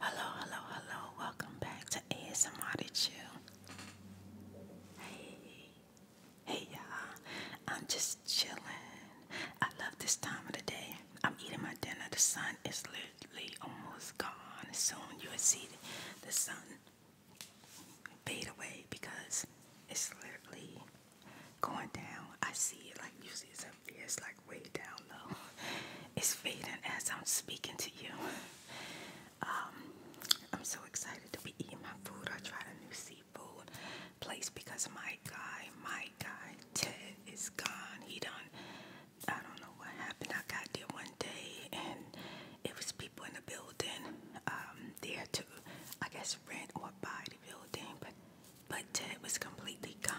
Hello, hello, hello. Welcome back to ASMR to Chill. Hey, hey y'all. I'm just chilling. I love this time of the day. I'm eating my dinner. The sun is literally almost gone. Soon you'll see the sun fade away because it's literally going down. I see it like usually it's it's like way down low. It's fading as I'm speaking to you. Um, I'm so excited to be eating my food. I tried a new seafood place because my guy, my guy Ted is gone. He done. I don't know what happened. I got there one day and it was people in the building um, there to, I guess, rent or buy the building, but but Ted was completely gone.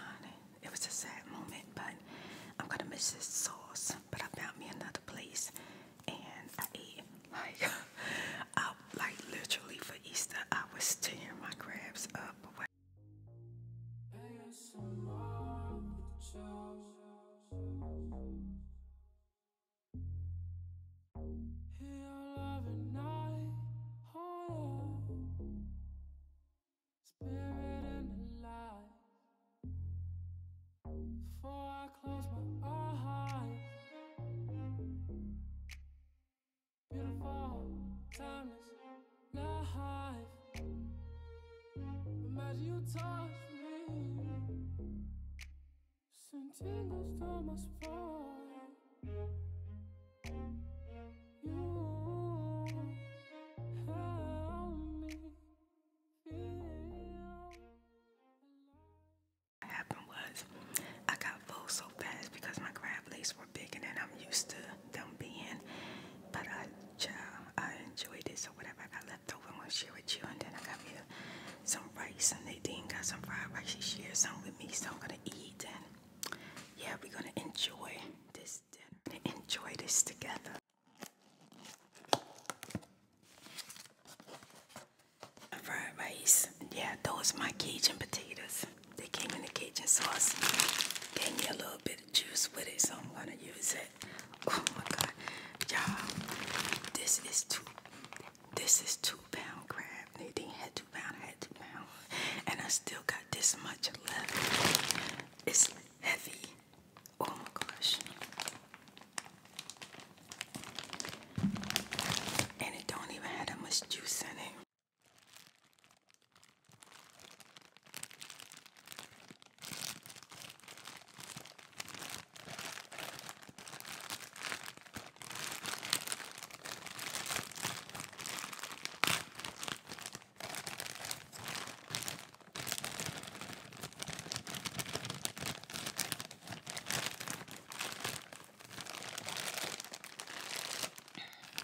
It was a sad moment, but I'm gonna miss this sauce. But I found me another place, and I ate like I like literally for Easter. I was tearing my crabs up. Spirit and the light. Before I close my eyes, beautiful, timeless life. Imagine you touch me, send tingles to my spine. What happened was I got full so fast because my crab legs were bigger than I'm used to them being. But I, child, I enjoyed it. So whatever I got left over, I'm gonna share with you. And then I got me some rice, and Nadine got some fried rice. She shared some with me, so I'm gonna eat. And yeah, we're gonna enjoy this dinner enjoy this together. Fried rice. Yeah, those are my Cajun potatoes. They came in the Cajun sauce. Gave me a little bit of juice with it, so I'm gonna use it. Oh my god. Y'all, this is two this is two pound crab. Nadine had two pound, I had two pound. And I still got this much left. It's heavy. Oh my gosh. And it don't even have that much juice in it.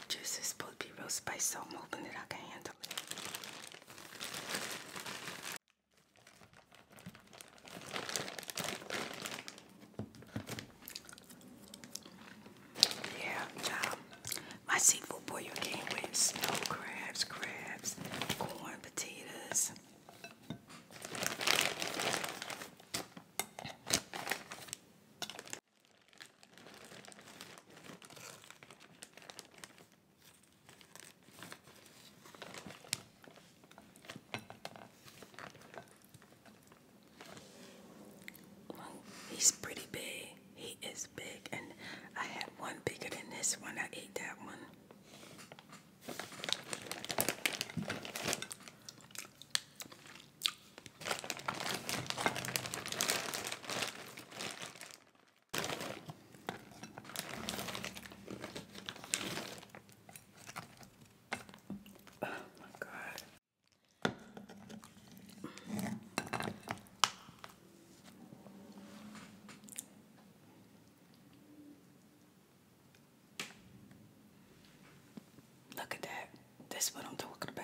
Juice is supposed to be real spicy, so I'm hoping that I can handle it. Yeah, child. Um, my seafood boil came with snow crabs, crabs, corn, potatoes. he's pretty big. He is big, and I had one bigger than this one. I ate that one. Oh my God. Look at that. That's what I'm talking about.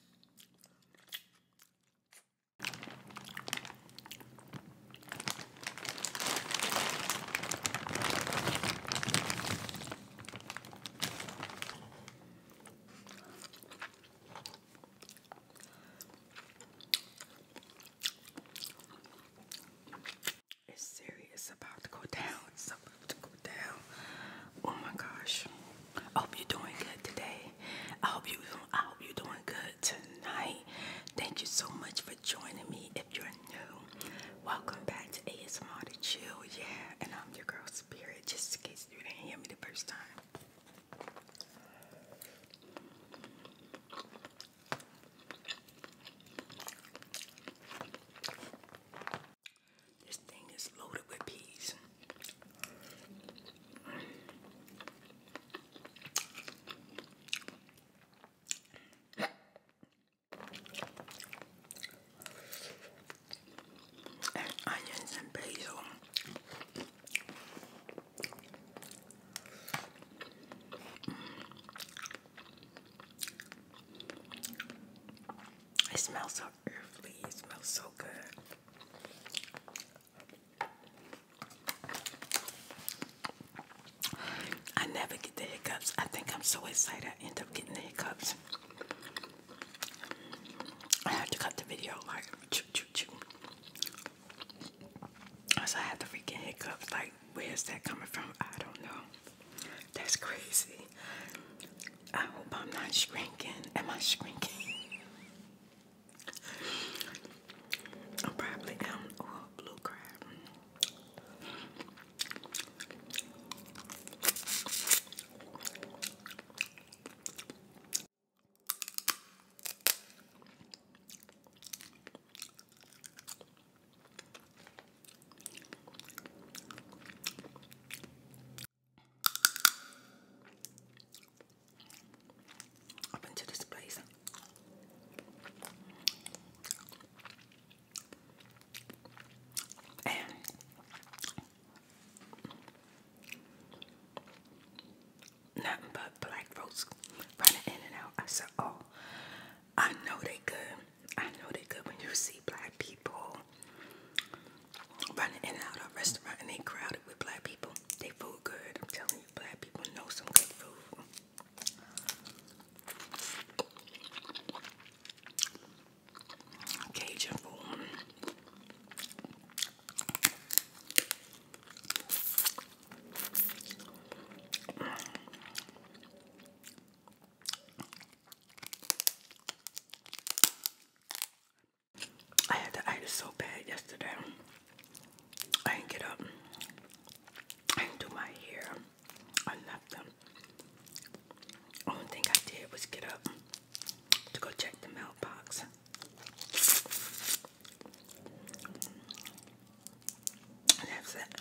It's serious about to go down. Oh my gosh. I hope you're doing good today. I hope you I hope you're doing good tonight. Thank you so much for joining me. If you're new, welcome back to ASMR to Chill. Yeah, and I'm your girl Spirit, just in case you didn't hear me the first time. This thing is loaded with peas. onions and basil. Mm. It so how smells so good. I never get the hiccups. I think I'm so excited I end up getting the hiccups. I had to cut the video like choo choo choo. So I had the freaking hiccups. Like, where's that coming from? I don't know. That's crazy. I hope I'm not shrinking. Am I shrinking? I probably am. blue crab. I've this place. nothing but black folks running in and out. I said, Oh, I know they good. I know they good when you see black people running in and out of restaurant and they crowded with black people. They food good. I'm telling you, black people know some good food. Cajun food. I had to the itis so bad yesterday. I didn't get up. I didn't do my hair. I left Only thing I did was get up to go check the mailbox. And that's it.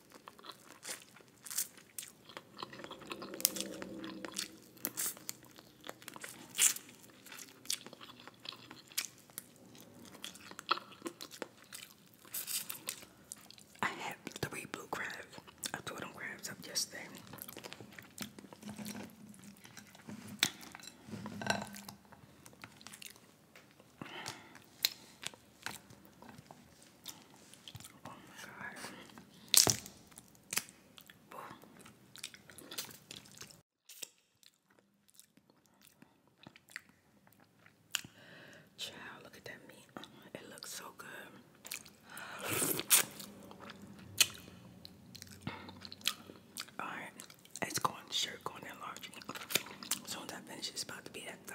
I had three blue crabs. I tore them crabs up yesterday. Oh look at that meat. It looks so good. All right, it's going sure going in large. Soon as I finish, about to be at the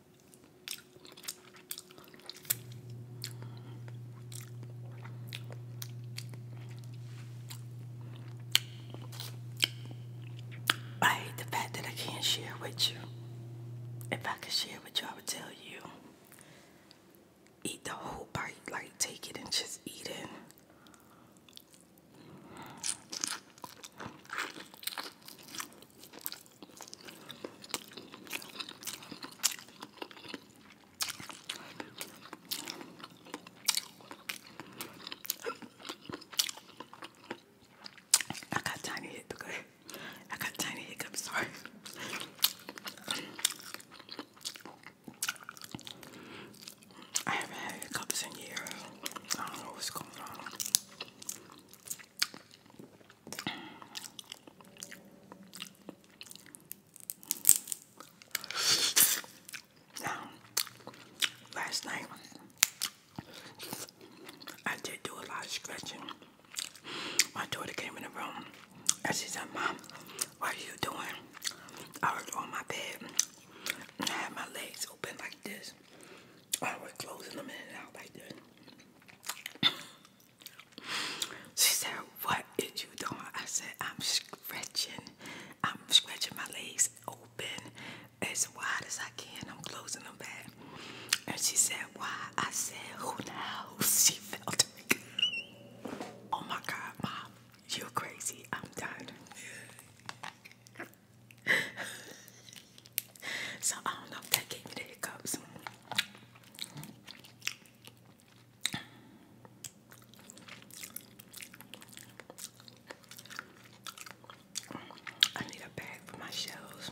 I hate the fact that I can't share with you. If I could share with you, I would tell you eat the whole bite, like take it and just eat it. I got tiny hiccups. I got tiny hiccups, sorry. I haven't had hiccups in years. I don't know what's going on. Now, um, last night I did do a lot of scratching. My daughter came in the room and she said, Mom, what are you doing? I was on my bed and I had my legs open like this. I oh, was closing them in and out like that. she said, What is you doing? I said, I'm stretching. I'm stretching my legs open as wide as I can. I'm closing them back. And she said, Why? I said, Who knows? She felt it. oh my God, Mom, you're crazy. I'm done. so I don't know if that gave me the hiccups. I need a bag for my shells.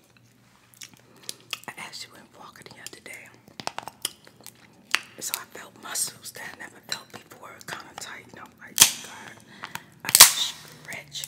I actually went walking the other day. So I felt muscles that I never felt before, kind of tighten up. Oh, i like, God, stretch.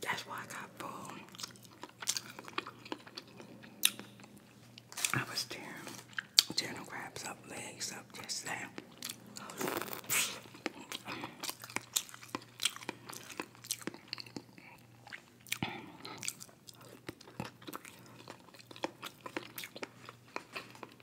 That's why I got full. I was tearing general crabs up, legs up, just that.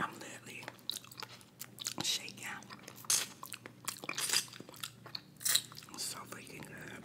I'm literally shaking out. so freaking good.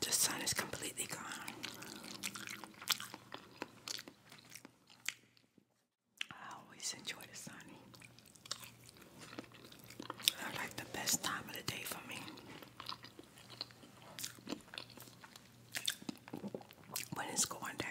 The sun is completely gone. I always enjoy the sun. they like the best time of the day for me. When it's going down.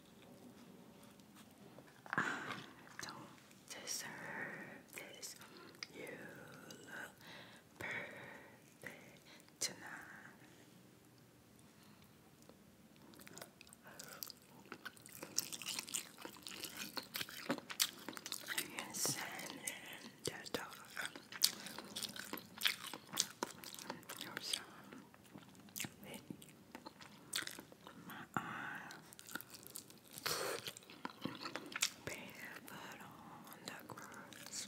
I don't deserve this. You look perfect tonight. And send in the dog. Your son my eyes. Barefoot on the grass.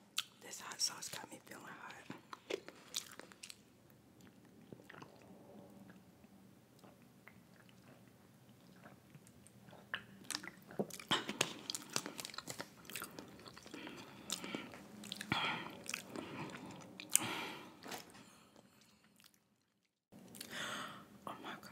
This hot sauce got me feeling hot. Oh my god.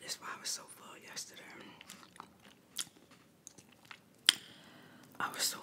That's why I was so full yesterday. I was so full,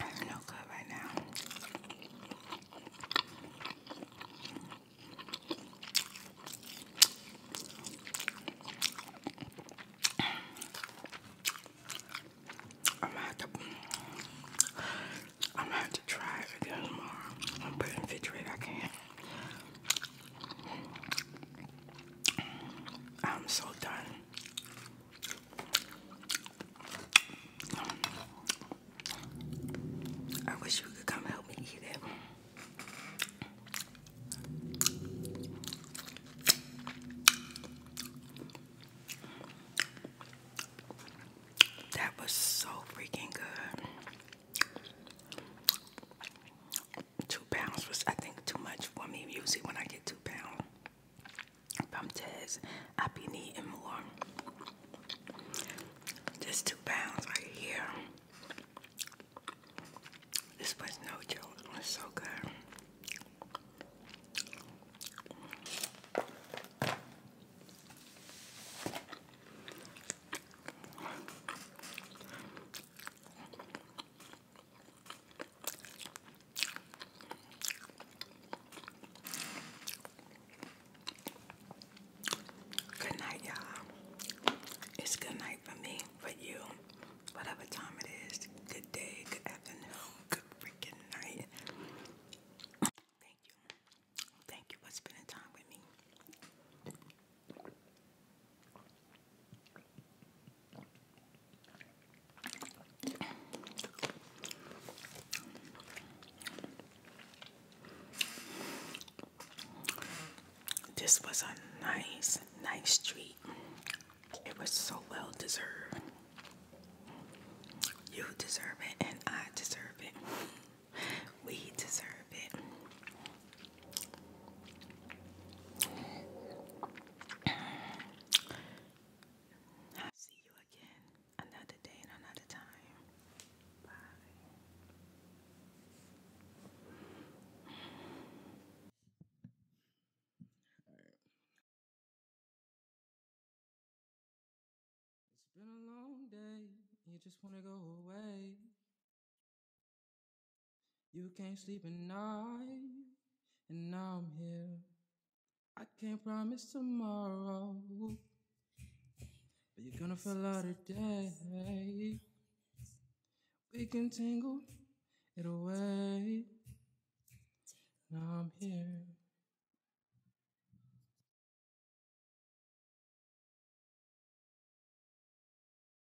I'm no good right now. I'm gonna have to, I'm gonna have to try it again tomorrow. I'm putting it I can't. I'm so done. I wish you could come help me eat it. That was so freaking good two pounds was I think too much for me. Usually when I get two pounds from Tez, I be needing more. Just two pounds right here. This was no joke. It was so good. Good night, y'all. It's good night for me, but you, whatever time it is. Good day, good afternoon, good freaking night. Thank you. Thank you for spending time with me. This was a nice, nice treat. It was so well deserved. You deserve it, and I deserve it. We deserve it. I'll see you again another day another time. Bye. right. It's been a long day. You just want to go away. You can't sleep at night, and now I'm here. I can't promise tomorrow, but you're gonna feel out today. We can tangle it away. and I'm here.